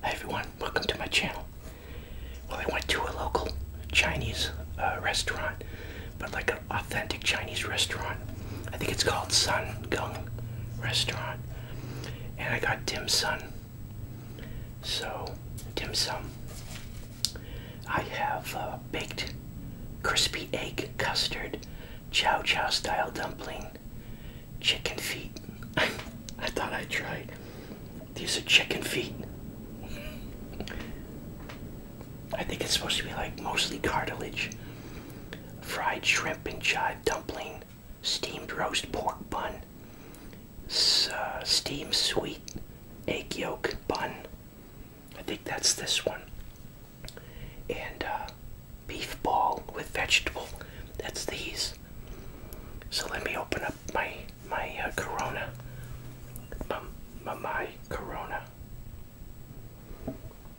Hi everyone, welcome to my channel. Well, I went to a local Chinese uh, restaurant, but like an authentic Chinese restaurant. I think it's called Sun Gung Restaurant. And I got dim sum. So, dim sum. I have uh, baked crispy egg custard chow chow style dumpling chicken feet. I thought I'd try. These are chicken feet. I think it's supposed to be like mostly cartilage, fried shrimp and chive dumpling, steamed roast pork bun, uh, steamed sweet egg yolk bun. I think that's this one. And uh, beef ball with vegetable. That's these. So let me open up my my uh, Corona. My, my, my Corona.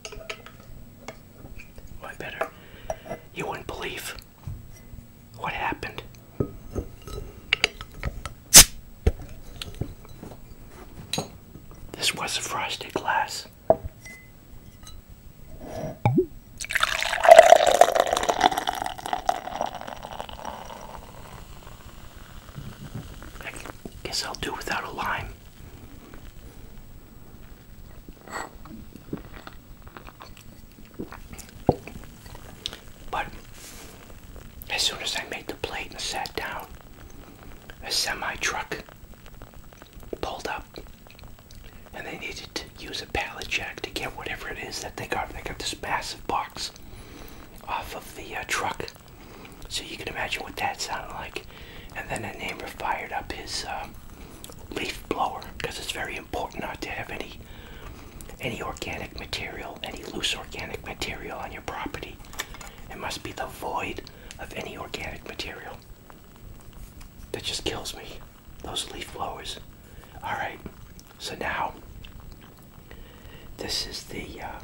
Well, oh, better. You wouldn't believe what happened. This was a frosted glass. I guess I'll do without a lime. But as soon as I made the plate and sat down, a semi truck pulled up, and they needed to use a pallet jack to get whatever it is that they got. They got this massive box off of the uh, truck, so you can imagine what that sounded like. And then a neighbor fired up his uh, leaf blower because it's very important not to have any any organic material, any loose organic material on your property. It must be the void of any organic material. That just kills me. Those leaf blowers. Alright, so now this is the uh,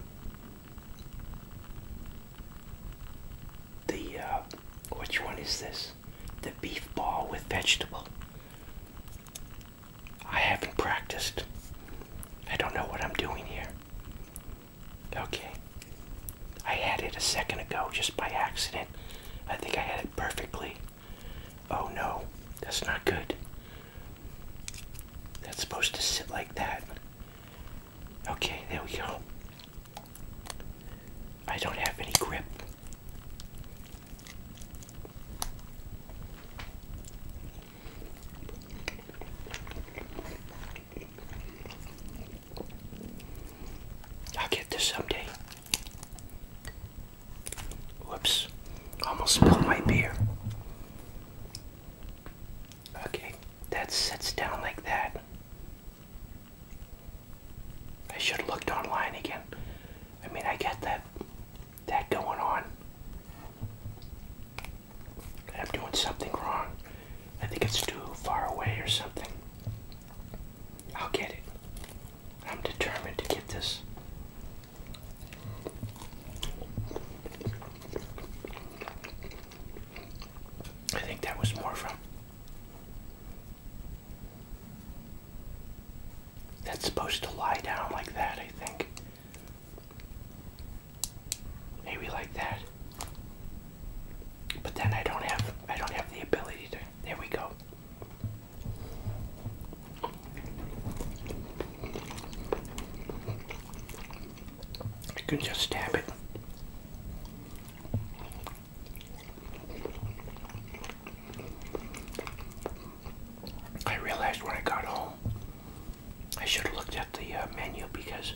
the uh, which one is this? The beef ball with vegetable. I haven't practiced. I don't know what I'm doing here. Okay. I had it a second ago just by accident. I think I had it perfectly. Oh no, that's not good. That's supposed to sit like that. Okay, there we go. I don't have any grip. I'll get this someday. Whoops. Almost spilled my beer. Okay, that sits down like that. I should have looked online again. I mean, I get that that going on. I'm doing something wrong. I think it's too far away or something. I'll get it. I'm determined to get this. I think that was more from. That's supposed to lie down like that, I think. Maybe like that. But then I don't have I don't have the ability to there we go. I can just stab it. I realized when I got home I should have looked at the uh, menu because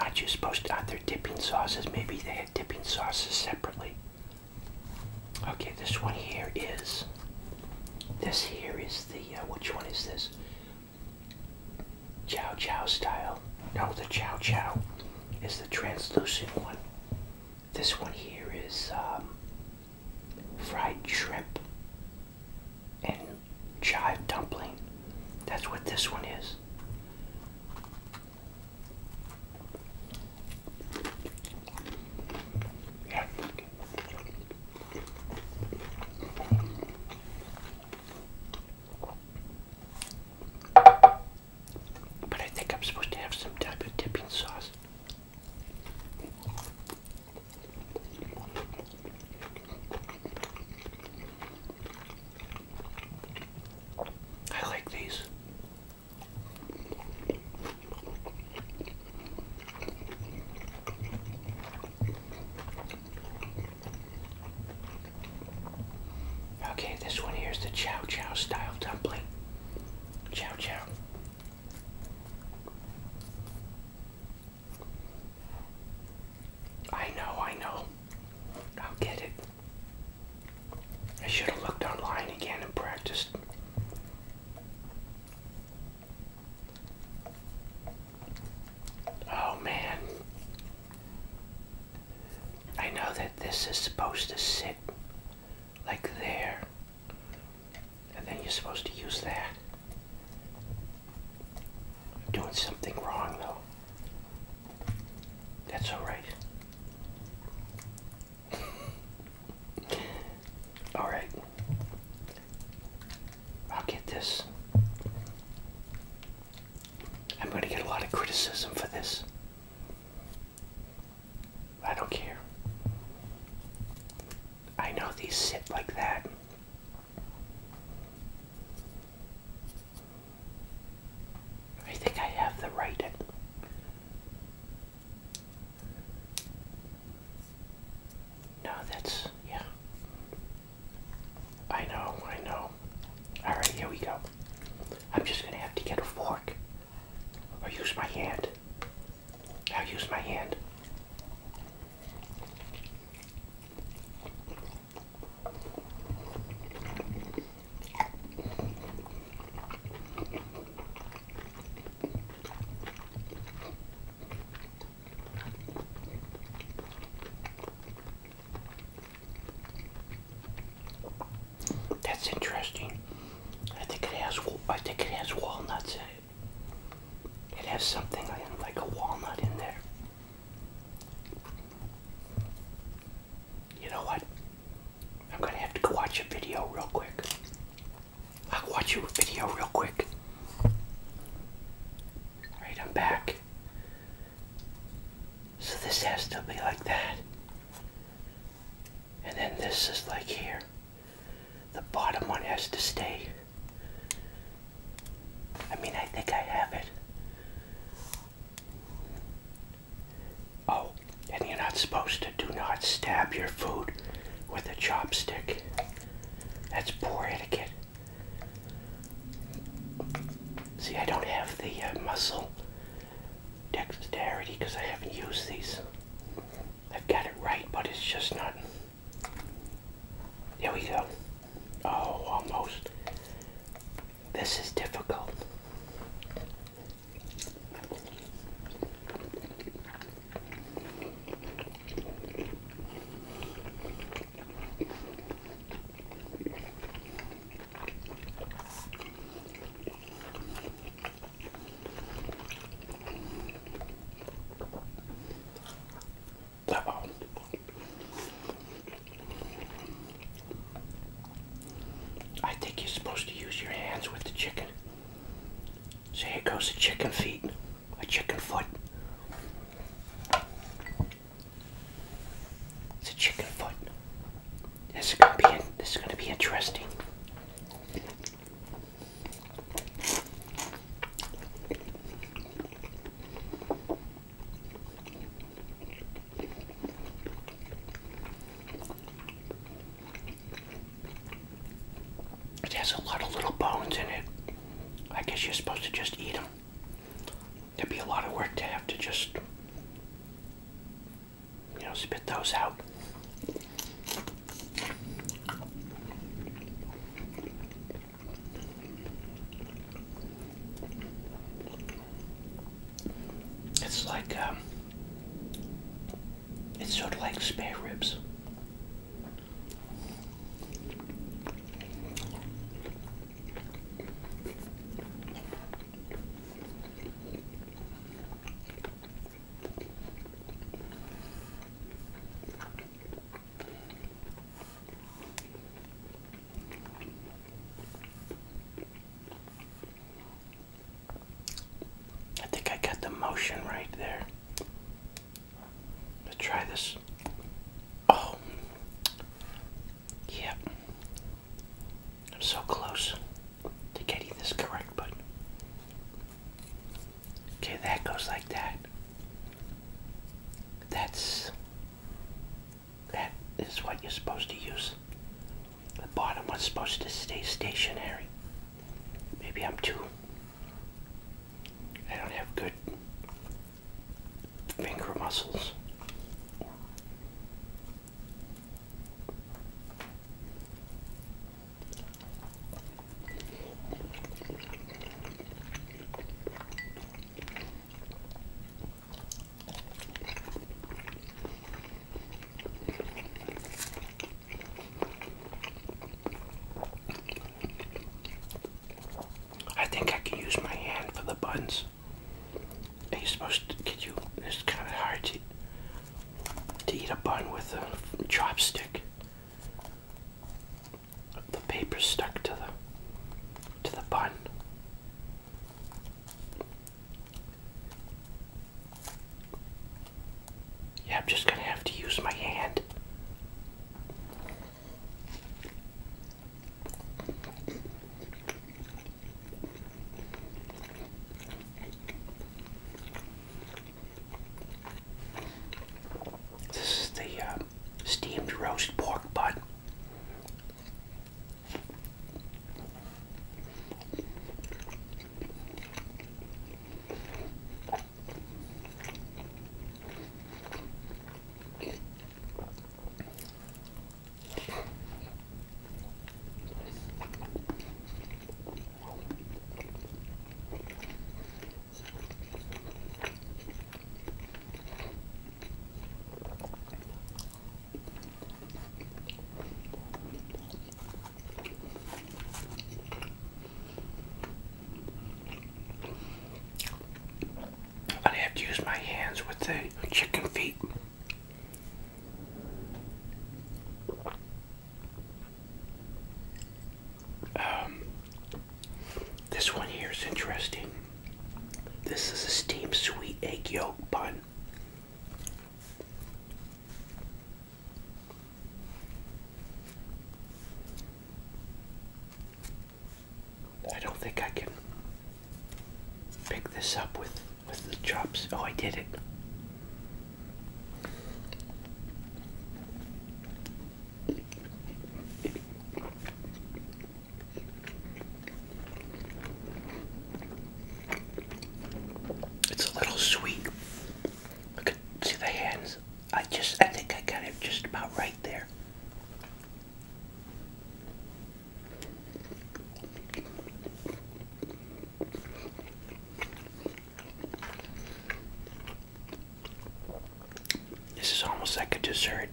Aren't you supposed to, are there dipping sauces? Maybe they had dipping sauces separately. Okay, this one here is, this here is the, uh, which one is this? Chow Chow style. No, the Chow Chow is the translucent one. This one here is um, fried shrimp and chive dumpling. That's what this one is. Yeah. But I think I'm supposed to have some type of dipping sauce. I like these. Okay, this one here is the chow chow style dumpling. Chow chow. I know, I know. I'll get it. I should have looked online again and practiced. Oh man. I know that this is supposed to sit like there and then you're supposed to use that. I'm doing something wrong though. That's alright. alright. I'll get this. I'm going to get a lot of criticism for this. I don't care. I know these sit like that I think I have the right. No, that's, yeah. I know, I know. Alright, here we go. I'm just gonna have to get a fork or use my hand. I'll use my hand. That's interesting. I think it has I think it has walnuts in it has something like a walnut in there. You know what? I'm gonna have to go watch a video real quick. I'll watch your video real quick. Right, I'm back. So this has to be like that. And then this is like here. The bottom one has to stay. I mean, I think I have it. Oh, and you're not supposed to do not stab your food with a chopstick. That's poor etiquette. See, I don't have the uh, muscle dexterity because I haven't used these. I've got it right, but it's just not here we go. Oh, almost. This is difficult. Uh-oh. I think you're supposed to use your hands with the chicken. So here goes a chicken feet, a chicken foot. It's a chicken foot. This is gonna be this is gonna be interesting. It has a lot of little bones in it. I guess you're supposed to just eat them. There'd be a lot of work to have to just, you know, spit those out. It's like, um, it's sort of like spare ribs. I think I got the motion right there. Let's try this. Oh, yep. Yeah. I'm so close to getting this correct, but okay, that goes like that. That's that is what you're supposed to use. The bottom was supposed to stay stationary. Maybe I'm too. I don't have good finger muscles. I think I can use my hand for the buns. Are you supposed to? get you? It's kind of hard to to eat a bun with a chopstick. The paper stuck to the to the bun. Yeah, I'm just gonna have to use my hand. This is the uh, steamed roast pork butt i have to use my hands with the chicken feet. Um, this one here is interesting. This is a steamed sweet egg yolk bun. I don't think I can pick this up with with the chops. Oh, I did it. It's a little sweet. see the hands. I just I think I got it just about right there. This is almost like a dessert.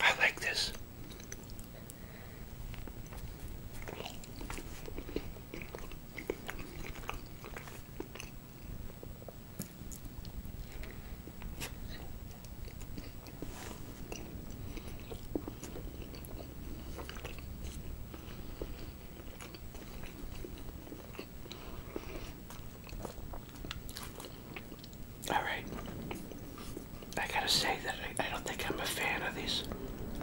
I like this. All right. I gotta say that I, I don't think I'm a fan of these.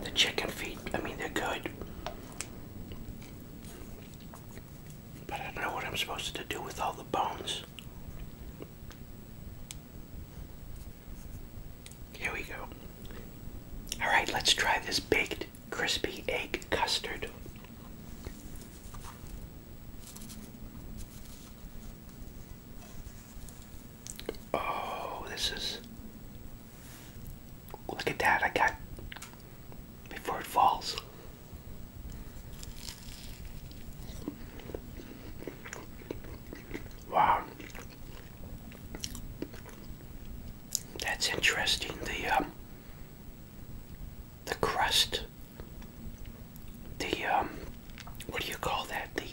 The chicken feet, I mean, they're good. But I don't know what I'm supposed to do with all the bones. Here we go. Alright, let's try this baked crispy egg custard. Oh, this is. Look at that, I got. Before it falls. Wow. That's interesting. The um, the crust, the um, what do you call that? The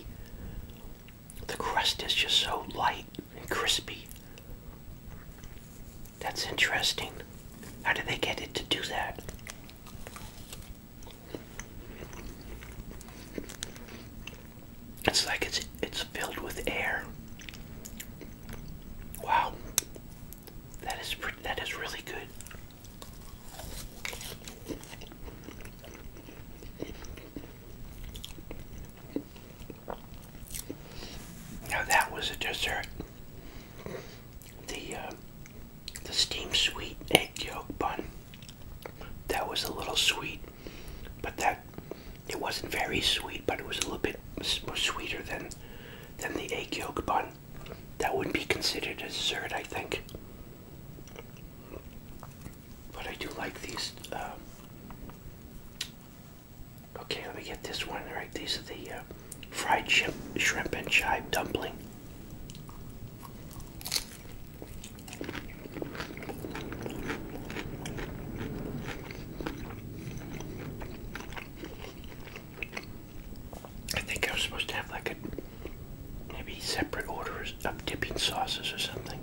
the crust is just so light and crispy. That's interesting. How do they get it to do that? It's like it's it's filled with air. Wow. That is pretty, that is really good. Now that was a dessert. The uh, the steamed sweet egg yolk bun. That was a little sweet, but that it wasn't very sweet, but it was a little bit sweeter than than the egg yolk bun. That would be considered a dessert, I think. But I do like these. Um, okay, let me get this one right. These are the uh, fried shrimp, shrimp and chive dumpling. I think I was supposed to have like a maybe separate orders up dipping sauces or something.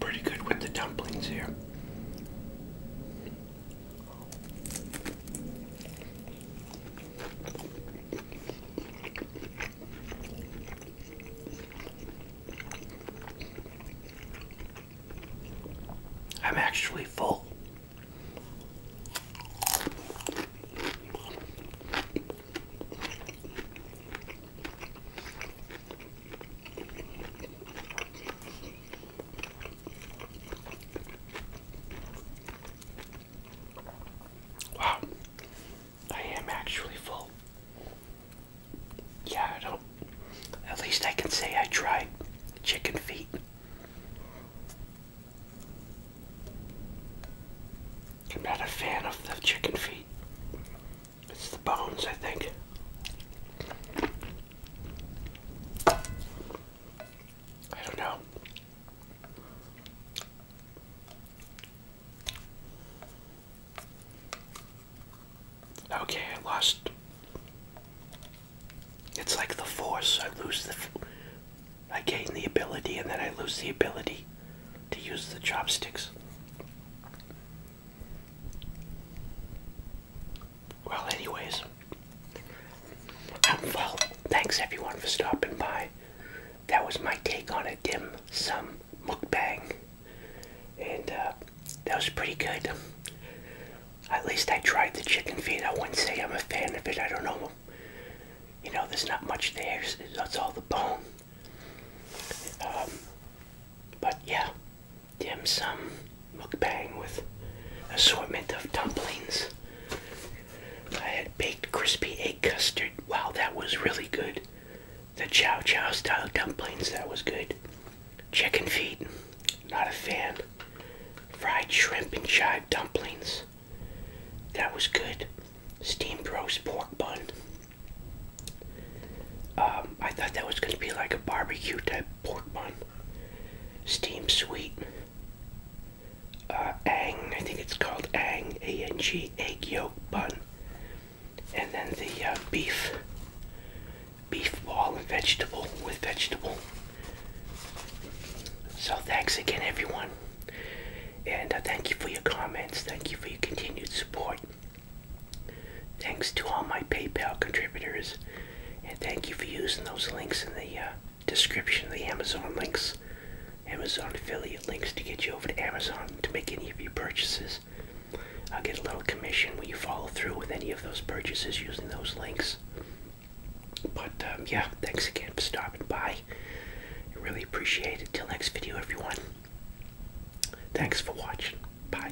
pretty good with the dumplings here. I'm actually full. Wow, I am actually full. Yeah, I don't. At least I can say I tried chicken feet. I'm not a fan of the chicken feet. It's the bones, I think. I don't know. Okay, I lost. It's like the force. I lose the. I gain the ability and then I lose the ability to use the chopsticks. Well, anyways, um, Thanks everyone for stopping by. That was my take on a dim sum mukbang, and uh, that was pretty good. At least I tried the chicken feet. I wouldn't say I'm a fan of it. I don't know. You know, there's not much there. That's all the bone. Um, but yeah, dim sum mukbang with assortment of dumplings. I had baked crispy egg custard. Wow, that was really good the chow chow style dumplings, that was good. Chicken feet, not a fan. Fried shrimp and chive dumplings, that was good. Steamed roast pork bun. Um, I thought that was going to be like a barbecue type pork bun. Steamed sweet. Uh, ang, I think it's called ang, A-N-G, egg yolk bun and then the uh, beef, beef ball and vegetable with vegetable. So thanks again, everyone, and uh, thank you for your comments. Thank you for your continued support. Thanks to all my PayPal contributors, and thank you for using those links in the uh, description, the Amazon links. Amazon affiliate links to get you over to Amazon to make any of your purchases. I'll get a little commission when you follow through with any of those purchases using those links. But um, yeah, thanks again for stopping by. really appreciate it. Till next video, everyone. Thanks for watching. Bye.